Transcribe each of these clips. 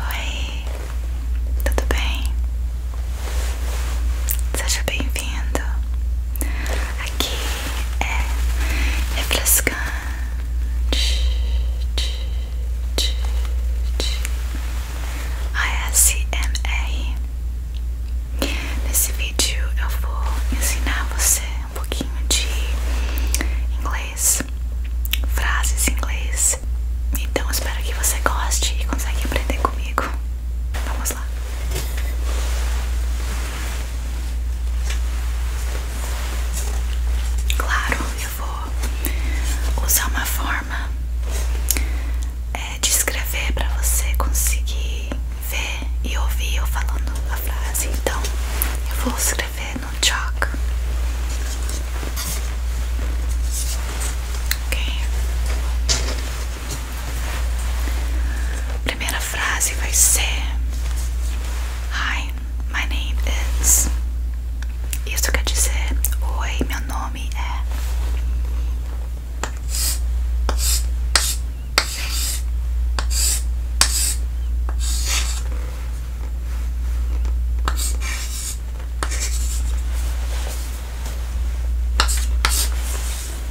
Oi, tudo bem? Seja bem-vindo aqui é refrescante. ASMR. Nesse vídeo eu vou ensinar você um pouquinho de inglês, frases em inglês. Então espero que você goste e consiga aprender comigo. Vamos lá. Claro, eu vou usar uma forma é, de escrever para você conseguir ver e ouvir eu falando a frase. Então, eu vou escrever no chalk. Ok primeira frase vai ser Hi, my name is. Isso quer dizer Oi, meu nome é.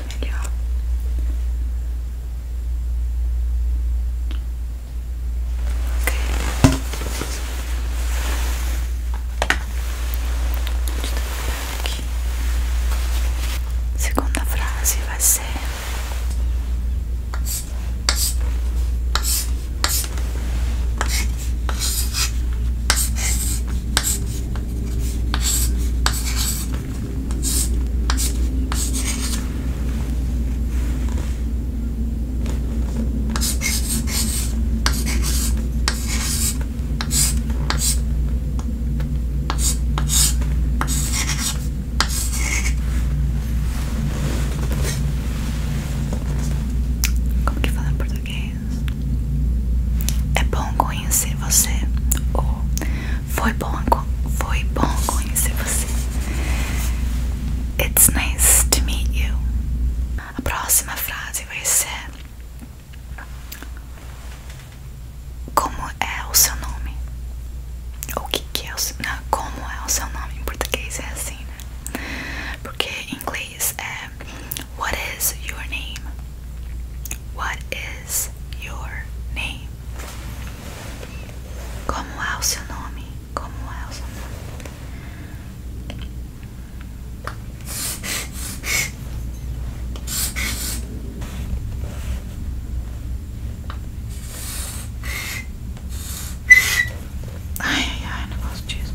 melhor. Ok. Aqui. Segunda frase vai ser como que fala português? É bom conhecer você ou foi bom, foi bom conhecer você. It's nice to meet you. A próxima frase vai ser Como é o seu nome? ou O que, é o seu nome? Como é o seu nome? Em português é assim, né? Porque em inglês é What is your name? What is your name? Como é o seu nome? Como é o seu nome? Ai, ai, ai, negócio disso.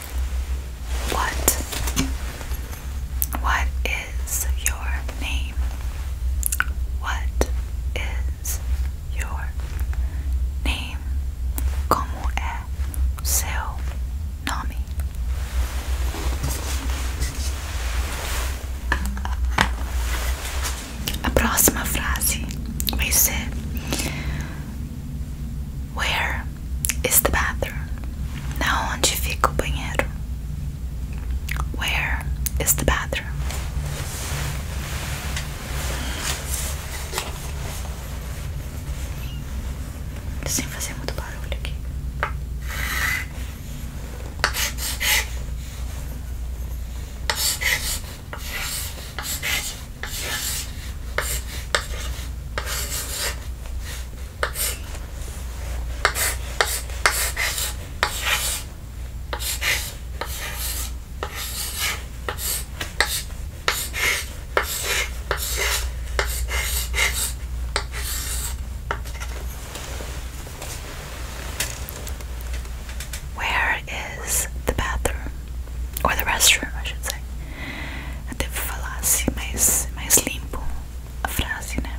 What? What is your name? What is your name? Como é seu nome? A próxima frase vai ser Where is the bathroom? Na onde fica o banheiro? Where is the bathroom? Sem fazer muito barulho aqui. Where is the bathroom? Or the restroom, I should say. At the Mais, mais Limpo frase, né?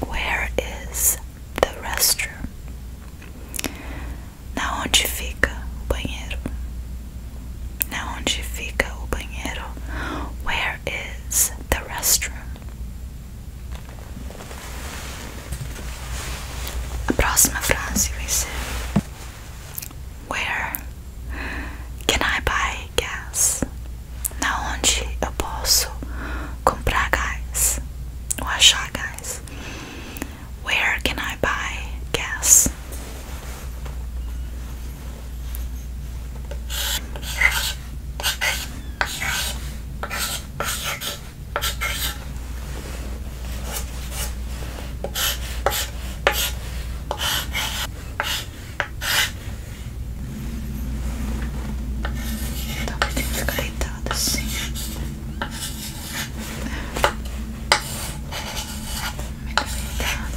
Where is the restroom? Na onde fica o banheiro? Na onde fica o banheiro? Where is the restroom? A próxima frase vai ser Where can I buy gás? Na onde eu posso comprar gás? Ou achar gás? Where can I buy gas? Então tá eu tenho que ficar deitada assim. Muito deitado. Muito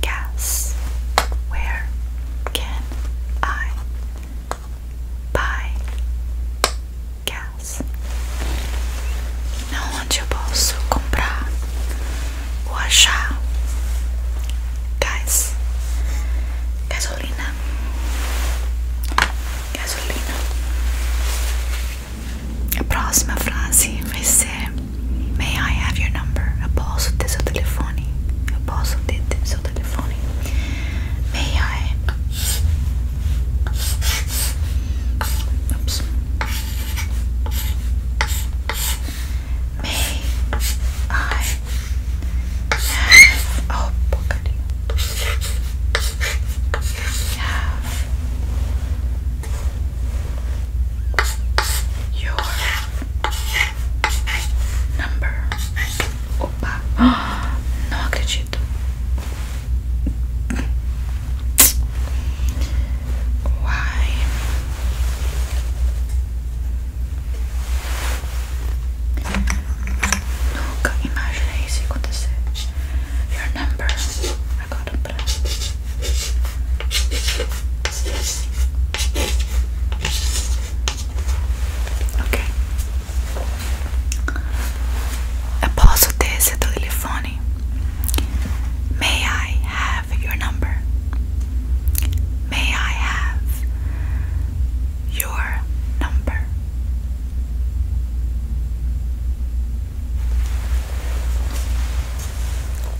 gas. Where can I buy gas? onde eu posso comprar ou achar gás, gasolina, gasolina. A próxima frase vai May I have your number? Após o seu telefone telefone. Eu posso ter May I? May I have oh porcaria have your Number. Opa! Não acredito. Why? Nunca imaginei isso acontecer. Your number. Agora pra. Okay. Απόστατες το τηλεφώνη. May I have your number? May I have your number?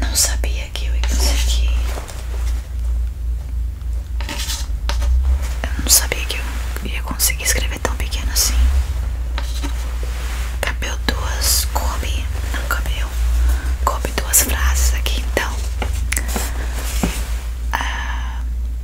Não sabia que eu ia conseguir. Eu não sabia que eu ia conseguir escrever tão pequeno assim. Cabeu duas, coube, não cabeu, coube duas frases aqui então. Ah,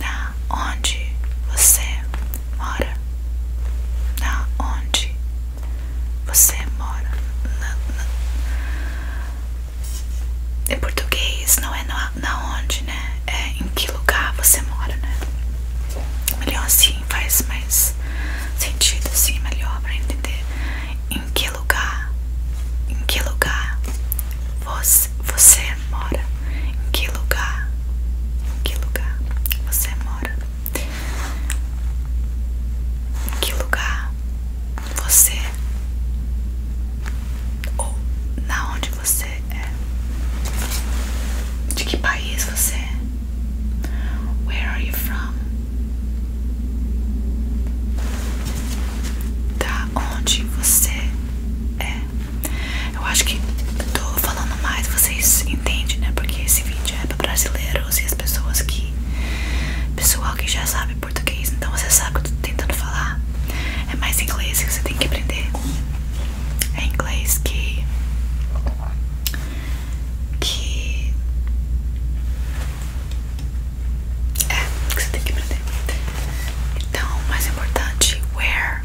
na onde você mora, na onde você mora, É português não é na, onde, né? É em que lugar você mora, né? Melhor assim, faz mais sentido assim, melhor para entender em que lugar, em que lugar você você mora? Em que lugar? Em que lugar você mora? Em que lugar você ou na onde você é? De que país você é? Where are you from? Da onde você é? Eu acho que tô falando mais, vocês entendem, né? Porque esse vídeo é para brasileiros e as pessoas que. Pessoal que já sabe português, então você sabe o que eu tô tentando falar. É mais inglês que você tem que aprender. É inglês que. Que. É, que você tem que aprender. Então, o mais importante, where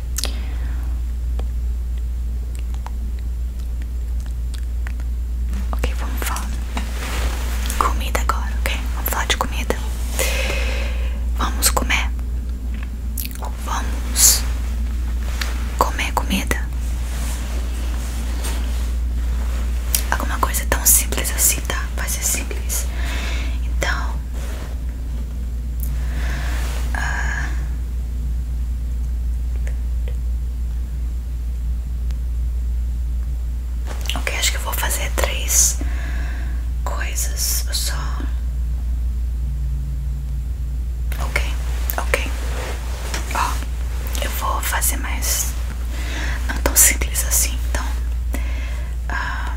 Ok, vamos falar comida agora, ok? Vamos falar de comida. Vamos comer. Vamos comer comida. Alguma coisa tão simples assim, tá? Vai ser simples. Então, ah. Ok, acho que vou fazer três coisas só. Ok, ok. Ó, eu vou fazer mais. Não tão simples assim, então. Ah,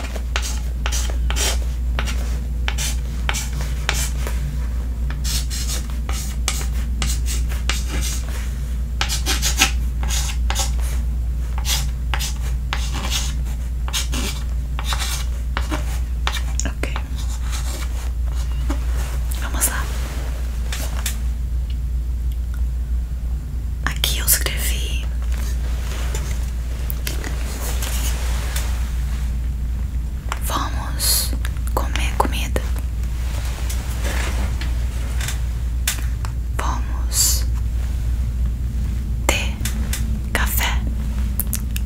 Ok, vamos lá. Aqui eu escrevi Vamos comer comida. Vamos ter café.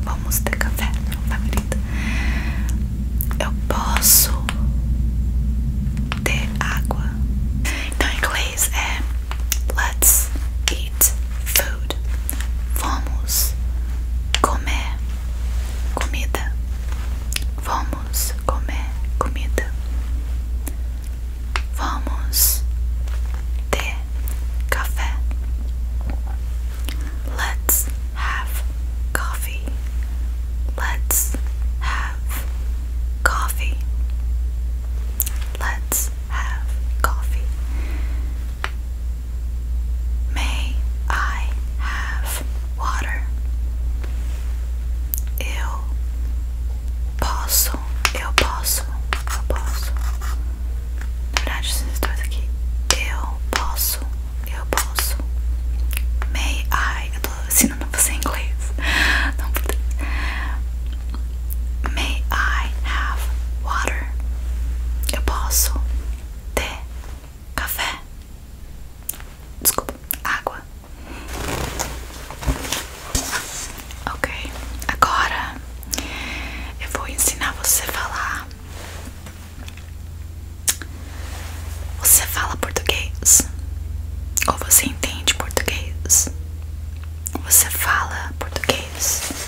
Vamos ter café, meu favorito. Eu posso ter água. Então, inglês é. Let's eat food. Vamos comer comida. Vamos comer comida. Vamos ter café. Let's have coffee. Let's have coffee. Let's have coffee? May I have water? Eu posso, eu posso, eu posso. Na verdade, esses dois aqui. Eu posso, eu posso. May I? Eu tô ensinando você em May I have water? Eu posso ter café? Desculpa, água. Ok, agora eu vou ensinar você a falar. Você fala português? Ou você entende português? Você fala português?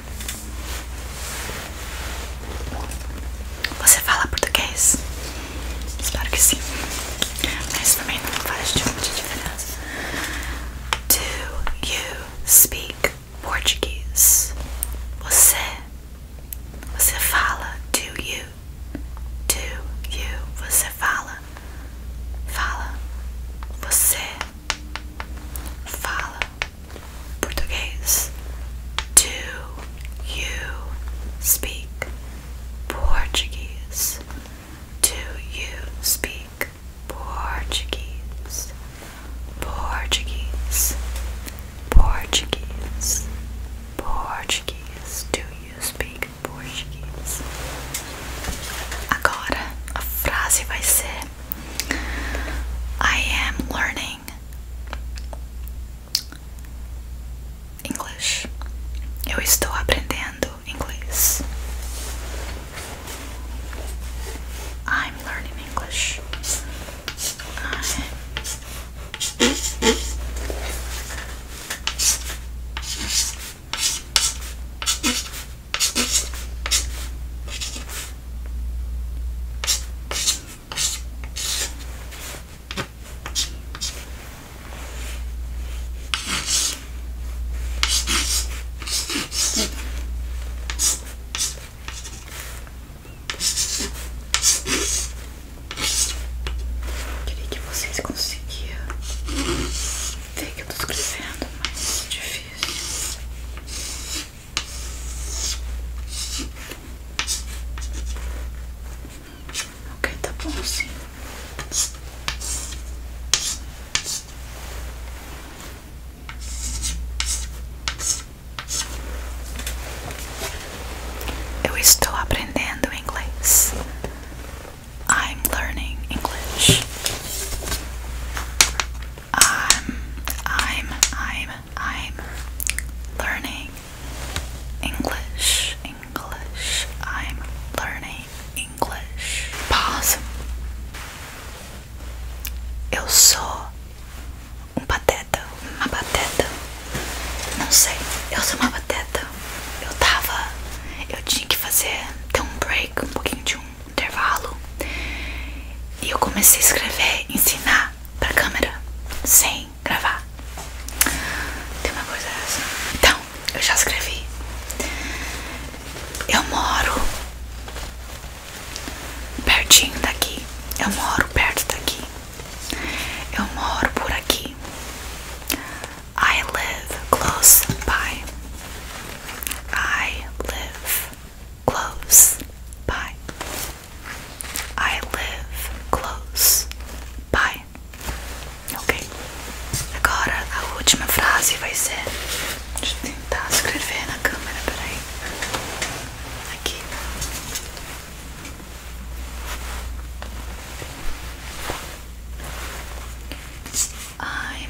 Você fala português? Espero que sim. Mas também não faz diferença. Do you speak Portuguese? Você? Você fala? Do you? Do you? Você fala? Fala. Você fala. Portuguese? Do you speak Portuguese? Do you speak Portuguese? Portuguese. Portuguese. Portuguese. Do you speak Portuguese? Agora a frase vai ser I am learning English. Eu estou aprendendo inglês. I'm learning English. Queria que vocês conseguissem ver que eu estou crescendo, mas é difícil. Ok, tá bom Eu estou aprendendo inglês. I'm learning English. I'm, I'm, I'm, I'm learning English. I'm learning English. Pause. Eu sou um pateta, uma pateta. Não sei. Eu sou uma pateta. Eu tava. Eu tinha que fazer. ter um break, um pouquinho de um intervalo e eu comecei a escrever, ensinar pra câmera sem gravar. Tem uma coisa assim. Então, eu já escrevi. Eu moro pertinho daqui. Eu moro perto daqui. Eu moro por aqui. I live close by. I live close by. I live close by. Ok? Agora a última frase vai ser. Deixa eu tentar escrever na câmera, peraí. Aqui. I'm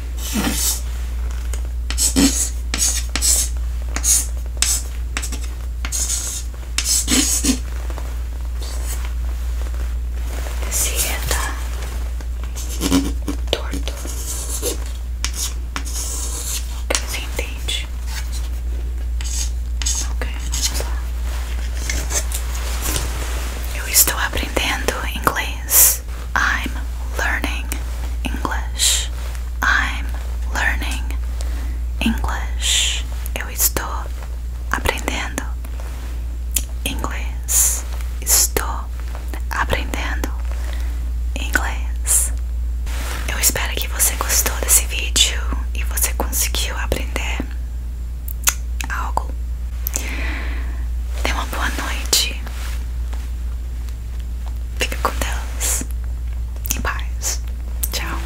Esse torto. você entende? Ok, vamos lá. Eu estou aprendendo inglês. I'm learning English. I'm learning English. Eu estou aprendendo inglês. Estou aprendendo inglês. Eu espero que você gostou desse vídeo e você conseguiu aprender algo. Tenha uma boa noite. Fica com Deus. e paz. Tchau.